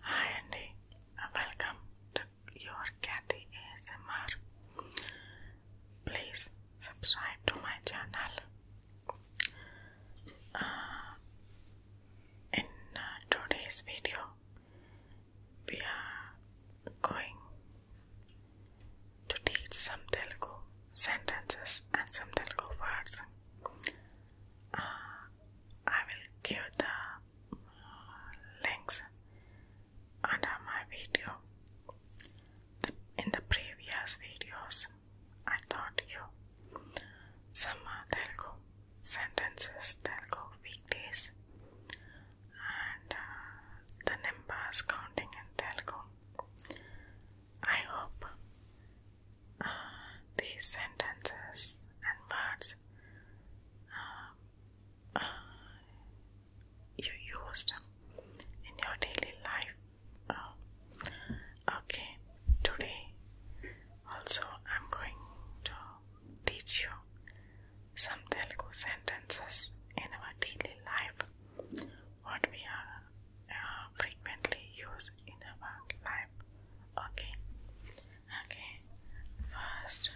Hi Andy, welcome to your Kathy ASMR. Please subscribe to my channel. Uh, in uh, today's video, we are going to teach some Telugu sentences and some Telugu words. Uh, I will give the links under my video. In the previous videos, I taught you some uh, Telugu sentences, go weekdays, and uh, the numbers counting in Telugu. I hope these sentences and words uh, uh, you used in your daily life. Oh, okay, today also I'm going to teach you some Telugu sentences in our daily life, what we are uh, frequently use in our life. Okay, Okay, first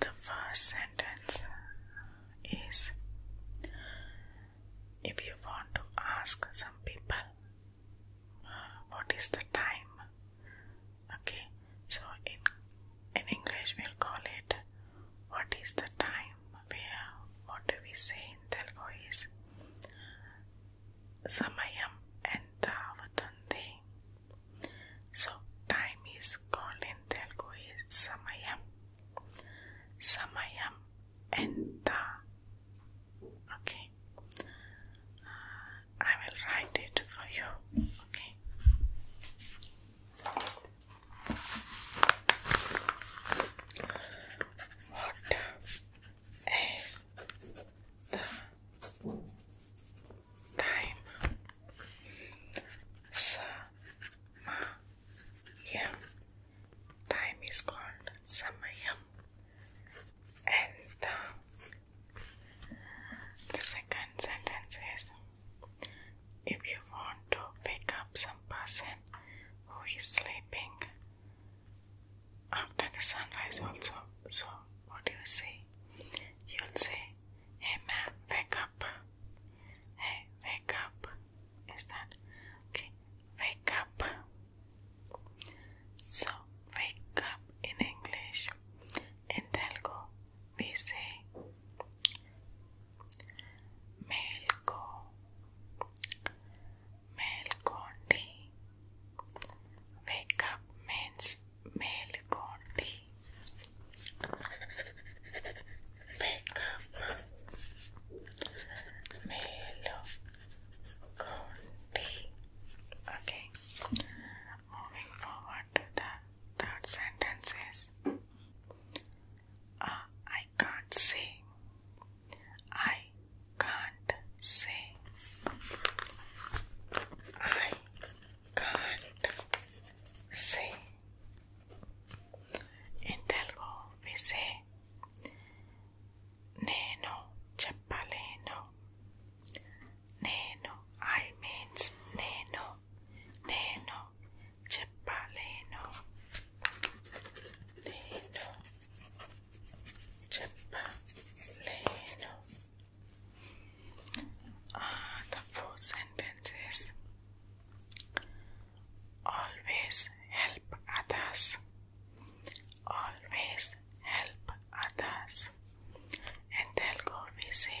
the first sentence is if you want to ask some people what is the time okay so in in english we'll call it what is the time Vea, what do we say in Telugu is Samayam and Avutundi. So time is called in Telugu is Samayam. Samayam and Okay. Uh, I will write it for you. Okay. What is the time? Samayam. Time is called Samayam. And the second sentence is if you want to wake up some person who is sleeping after the sunrise also so what do you say you'll say hey man wake up hey wake up is that okay wake up so wake up in english in telugu we say మేల్కో మేల్కోండి wake up means మేల్కోండి wake up మేల్కోండి okay moving forward the third sentence is uh, I can't say. I can't say. I can't say. In Telugu we say Neno Chapaleno. Neno I means Neno. Neno Chipaleno, Leno, Ah, the fourth sentence is always help others. Always help others. In Telugu we say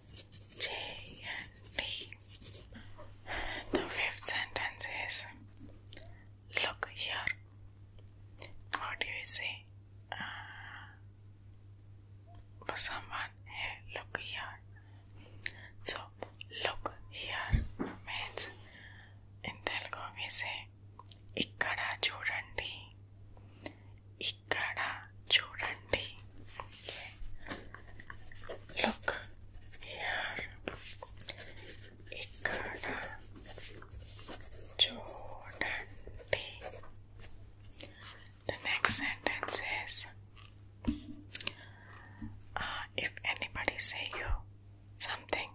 J and D. The fifth sentence is Look here. What do you say uh, for someone? here? look here. So, look here means in Telugu we say ikkada chudandi ikkada chudandi Look here. Ikada Chodanti. The next sentence is uh, if anybody say you something,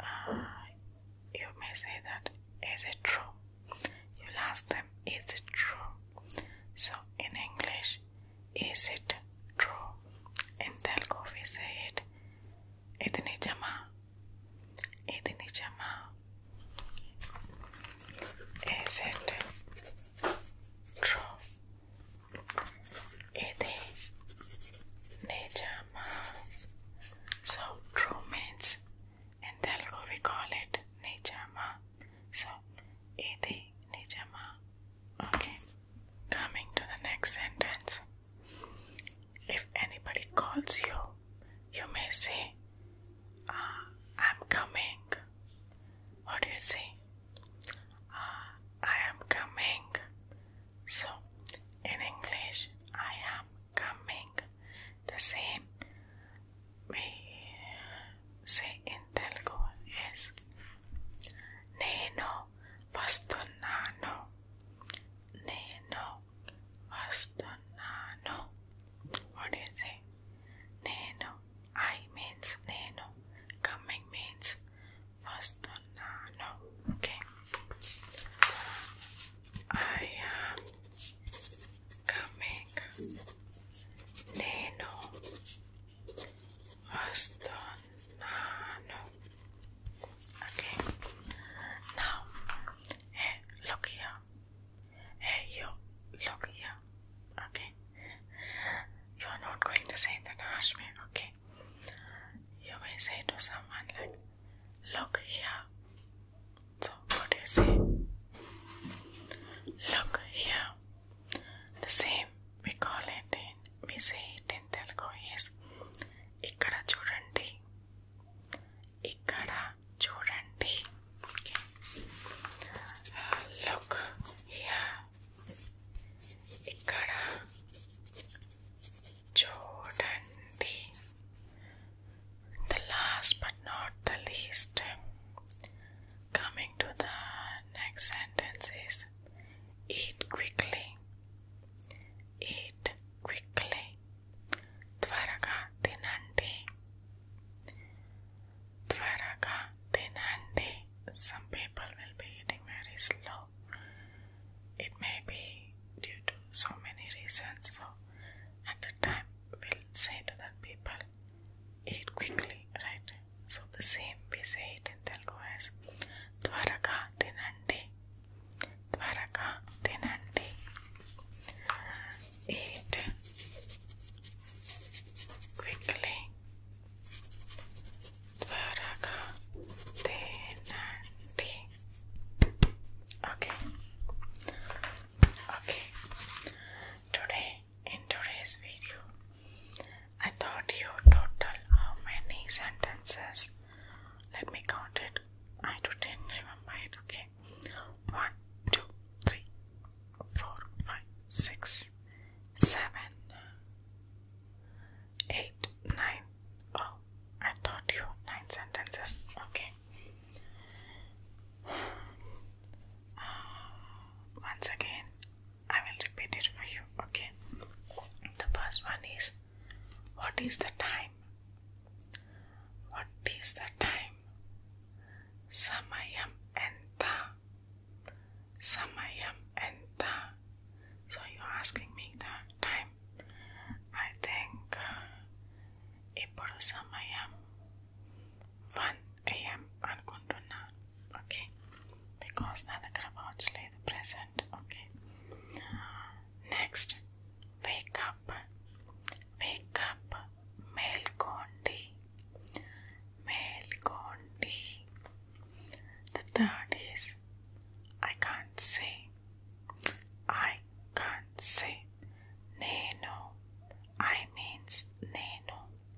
uh, you may say that is it true? you ask them, is it true? So in English, is it true? In Telugu we say it. Idi nijama. Idi nijama. Is it true? Idi nijama. So true means in Telugu we call it nijama. So Idi Nijama. Okay. Coming to the next sentence. If anybody calls you, you may say, uh, I'm coming. What do you say? Uh, I am coming. So, in English, I am coming. The same se intelgo es Neno vastunano Neno vastunano What do you say? Neno I means Neno coming means vastunano Okay I am coming Neno Astonano. Okay. Now, hey, eh, look here. Hey, you, eh, look here. Okay. You're not going to say that harsh okay? You may say to someone like, look here. So, what do you say? Look here. The same we call it in, we say it in Telugu is ikkada chudandi. Ikkada chudandi. Okay. Uh, look here. Ikkada chudandi. The last but not the least Coming to the next sentence is eat quickly. Eat quickly. Tvaraga tinandi. Tvaraga tinandi. Some people will be eating very slow. It may be due to so many reasons. So at the time we'll say to the people, eat quickly, right? So the same we say it in Telugu as Dwaraka Tinandi. Dwaraka Tinandi. Eat quickly. Dwaraka Tinandi. Okay. Okay. Today in today's video, I thought you total how many sentences. Let me count it. I do not remember Okay, one, two, three, four, five, six, seven, eight, nine. Oh, I taught you nine sentences. Okay. Uh, once again, I will repeat it for you, okay? The first one is What is the time? What is the time? Samayam enta. Samayam enta. So you're asking me the time. I think uh, Samayam 1 I am అనుకుంటున్నా okay because నా దగ్గర watch the present okay next wake up wake up Mel మేల్కోండి the third is I can't say I can't say నేను I means నేను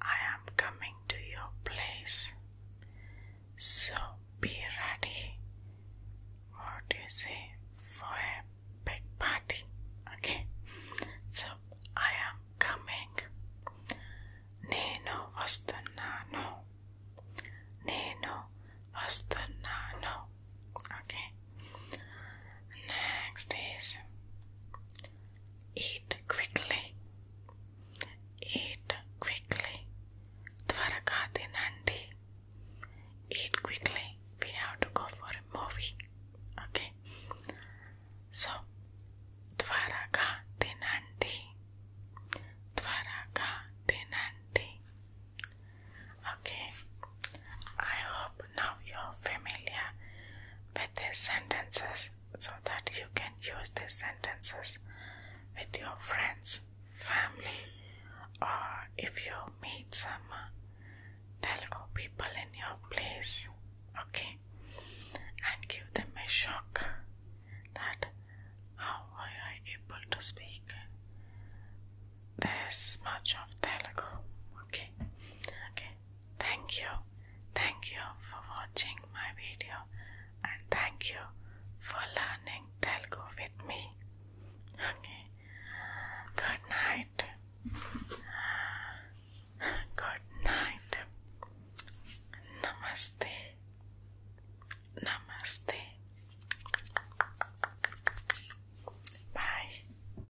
I am coming to your place, so be ready. What do you say for a big party? Okay, so I am coming. Nino vastanano. Nino vastanano. Okay, Next is eat quickly. Eat quickly. Dwarakati Nandi. Eat quickly. We have to go for a movie. Okay. So Dwaraka Dinanti. Dwaraka Dinanti. Okay. I hope now you're familiar with these sentences so that you can use these sentences with your friends, family, or if you meet some uh, Telugu people in your place, okay, and give them a shock that how are you able to speak this much of Telugu, okay, okay. Thank you. Thank you for watching my video and thank you for learning Telugu with me. Okay. Good night. Good night. Namaste. Namaste. Bye.